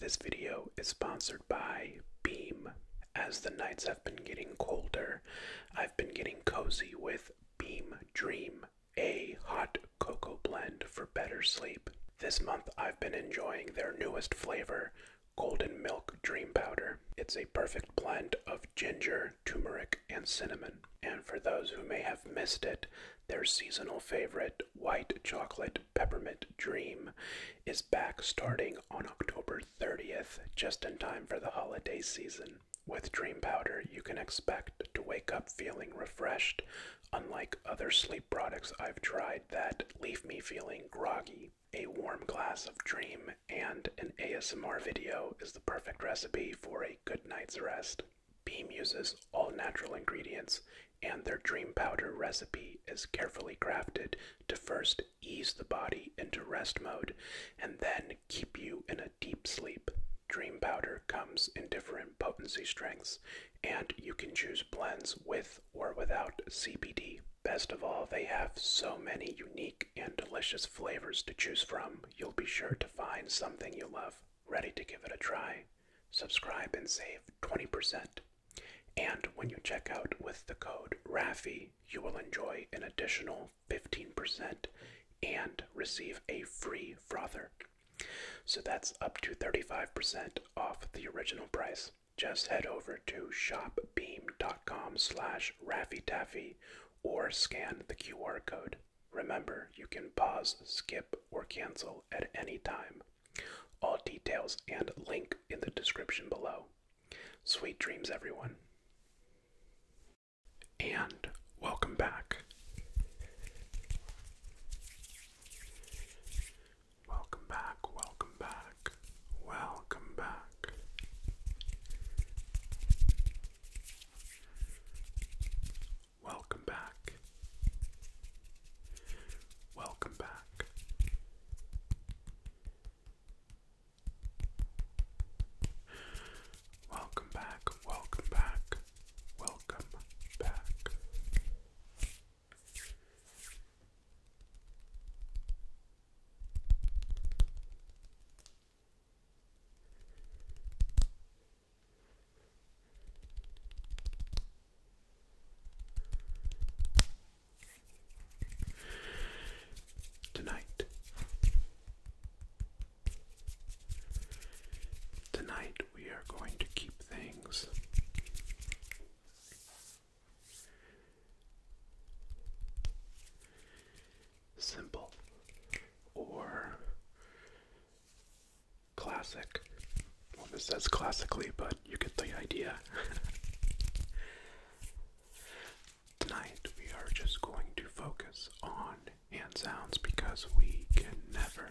This video is sponsored by Beam. As the nights have been getting colder, I've been getting cozy with Beam Dream, a hot cocoa blend for better sleep. This month I've been enjoying their newest flavor, Golden Milk Dream Powder. It's a perfect blend of ginger, turmeric, and cinnamon. And for those who may have missed it, their seasonal favorite, white chocolate Peppermint Dream is back starting on October 30th, just in time for the holiday season. With Dream Powder, you can expect to wake up feeling refreshed, unlike other sleep products I've tried that leave me feeling groggy. A warm glass of Dream and an ASMR video is the perfect recipe for a good night's rest. Beam uses all natural ingredients and their dream powder recipe is carefully crafted to first ease the body into rest mode and then keep you in a deep sleep. Dream powder comes in different potency strengths, and you can choose blends with or without CBD. Best of all, they have so many unique and delicious flavors to choose from, you'll be sure to find something you love. Ready to give it a try? Subscribe and save 20%. And when you check out with the code RAFI, you will enjoy an additional 15% and receive a free frother. So that's up to 35% off the original price. Just head over to shopbeam.com slash RaffyTaffy or scan the QR code. Remember, you can pause, skip, or cancel at any time. All details and link in the description below. Sweet dreams, everyone. And welcome back. Welcome back, welcome back, welcome back. Welcome back. Welcome back. Welcome back, welcome back, welcome back. Tonight. Tonight we are going to keep things simple or classic. Well, this says classically, but you get the idea. Tonight, we are just going to focus on hand sounds because we can never,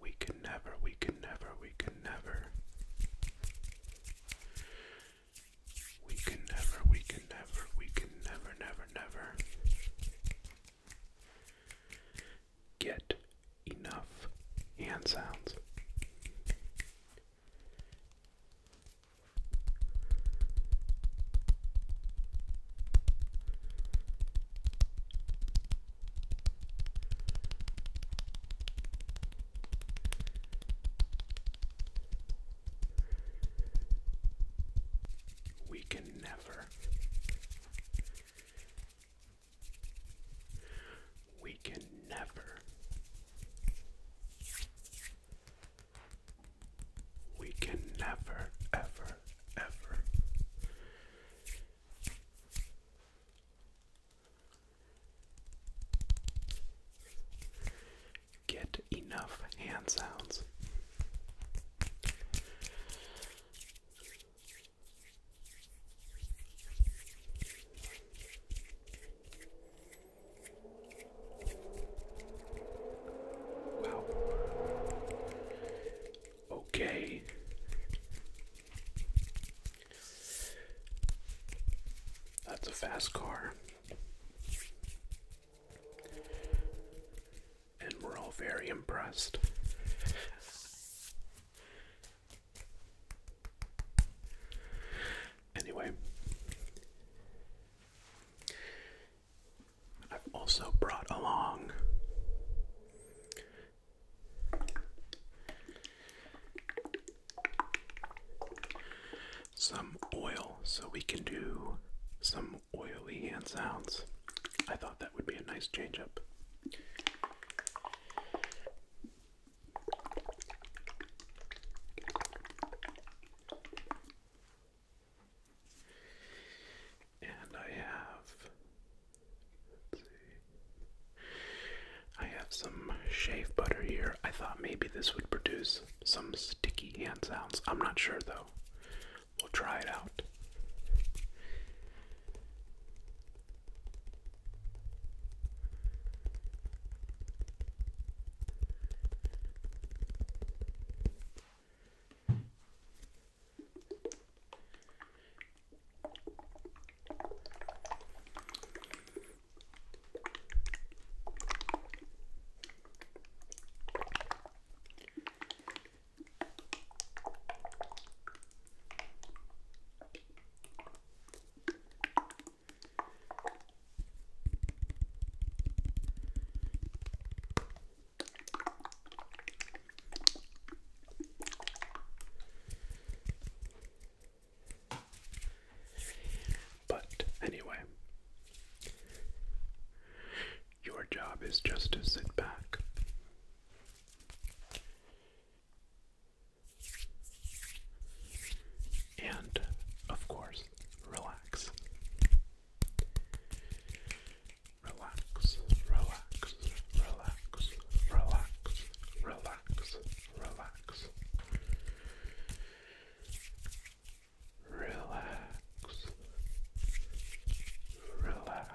we can never, we can never, we can never, we can never, we can never, we can never, never, never. Get enough hand sounds. We can never we can never, we can never, ever, ever get enough hand sounds Wow. Okay. That's a fast car and we're all very impressed. Anyway, I've also brought along some oil so we can do some oily hand sounds. I thought that would be a nice change up. And I have see. I have some shave butter here. I thought maybe this would produce some sticky hand sounds. I'm not sure though. We'll try it out. But anyway, your job is just to sit back. And, of course, relax. Relax, relax, relax, relax, relax, relax. Relax. Relax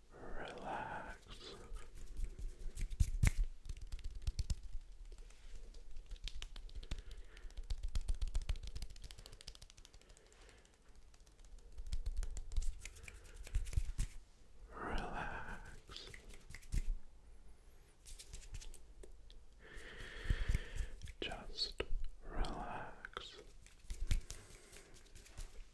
relax. Relax. Just relax.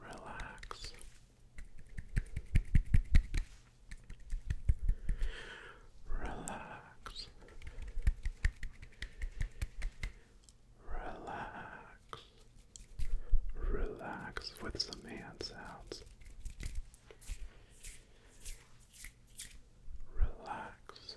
Relax. Relax. Relax. Relax with some hand sounds. Relax.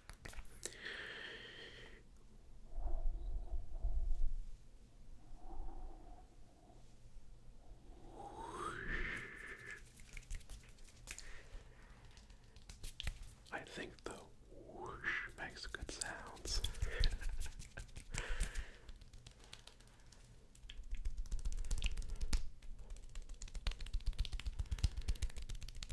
I think the whoosh makes good sounds.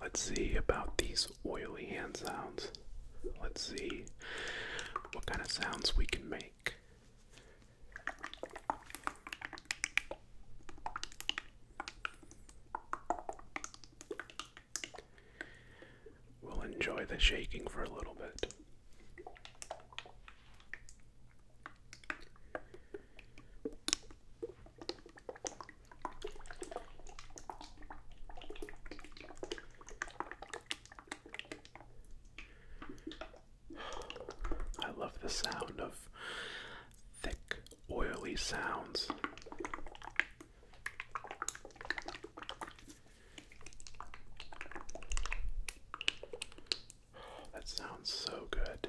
Let's see about these oily hand sounds. Let's see what kind of sounds we can make. We'll enjoy the shaking for a little bit. I love the sound of thick, oily sounds. That sounds so good.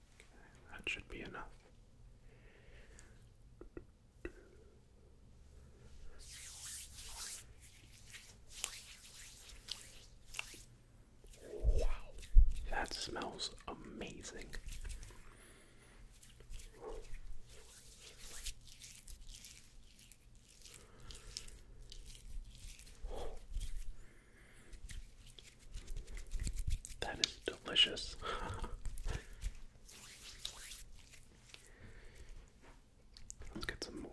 That should be enough. Wow, that smells amazing. That is delicious. Let's get some more.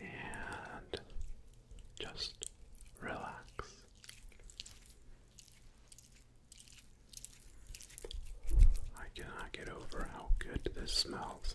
and just relax. I cannot get over how good this smells.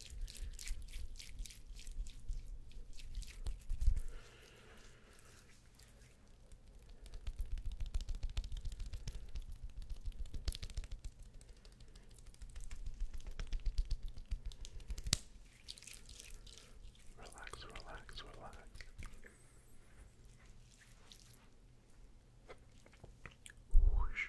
Relax, relax, relax. Whoosh.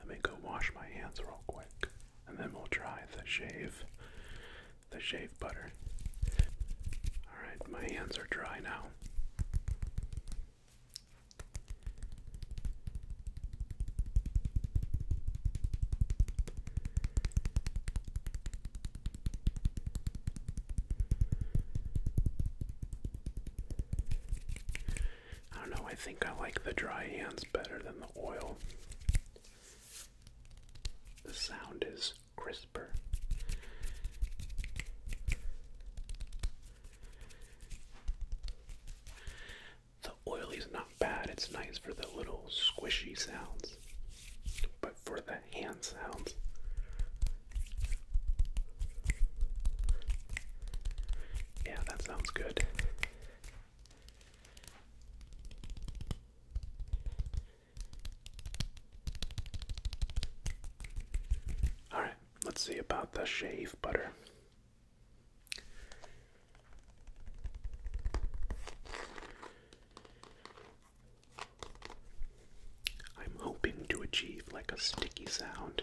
Let me go wash my hands real quick, and then we'll try the shave, the shave butter. All right, my hands are dry now. I don't know, I think I like the dry hands better than the oil. The sound is crisper. The oil is not bad, it's nice for the little squishy sounds, but for the hand sounds, yeah, that sounds good. All right, let's see about the shave butter. I'm hoping to achieve like a sticky sound.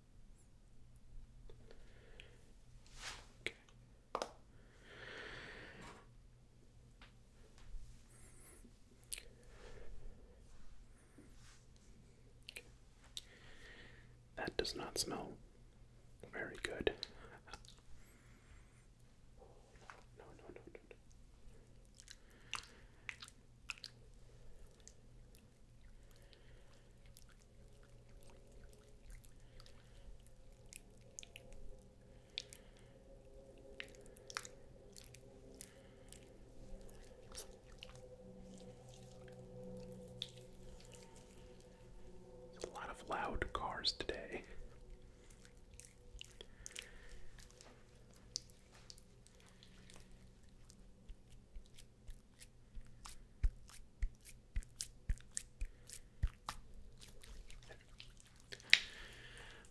That does not smell very good a lot of loud cars today.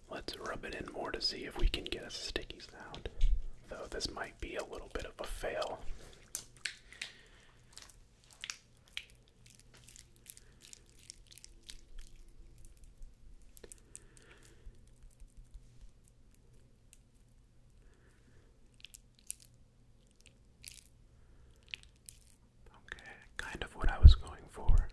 Let's rub it in more to see if we can get a sticky sound, though this might be a little bit of a fail. Okay, kind of what I was going for.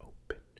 Open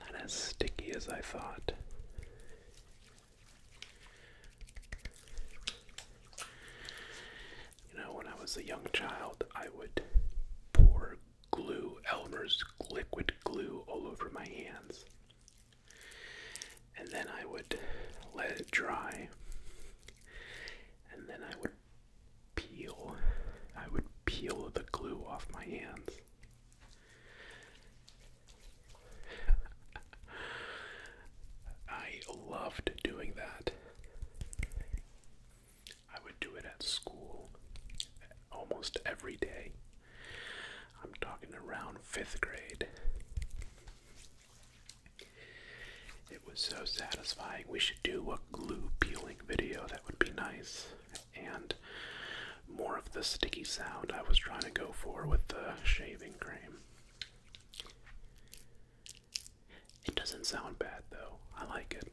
Not as sticky as I thought. You know, when I was a young child, I would pour glue, Elmer's liquid glue, all over my hands. And then I would let it dry. And then I would peel. I would peel the glue off my hands. I loved doing that. I would do it at school almost every day. I'm talking around fifth grade. It was so satisfying. We should do a glue peeling video, that would be nice. And more of the sticky sound I was trying to go for with the shaving cream. It doesn't sound bad though, I like it.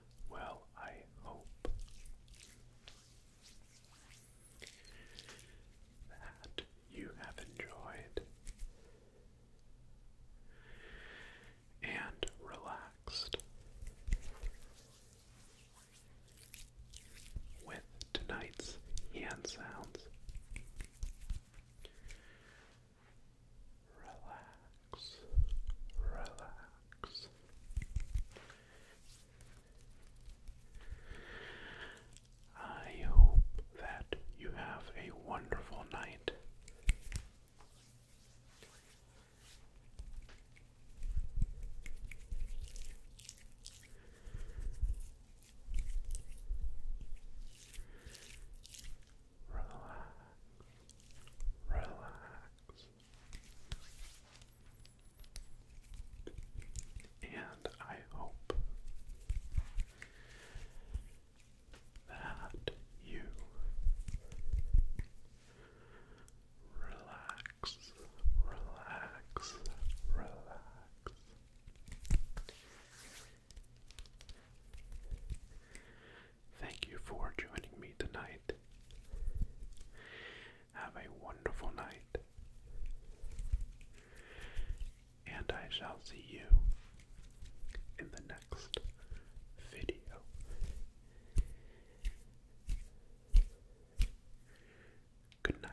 Well, I hope that you have enjoyed and relaxed with tonight's hand sounds. Relax relax. I hope that you have a wonderful night. Relax, relax, and I hope that you relax, relax, relax. Thank you for joining me tonight. Have a wonderful night. And I shall see you in the next video. Good night.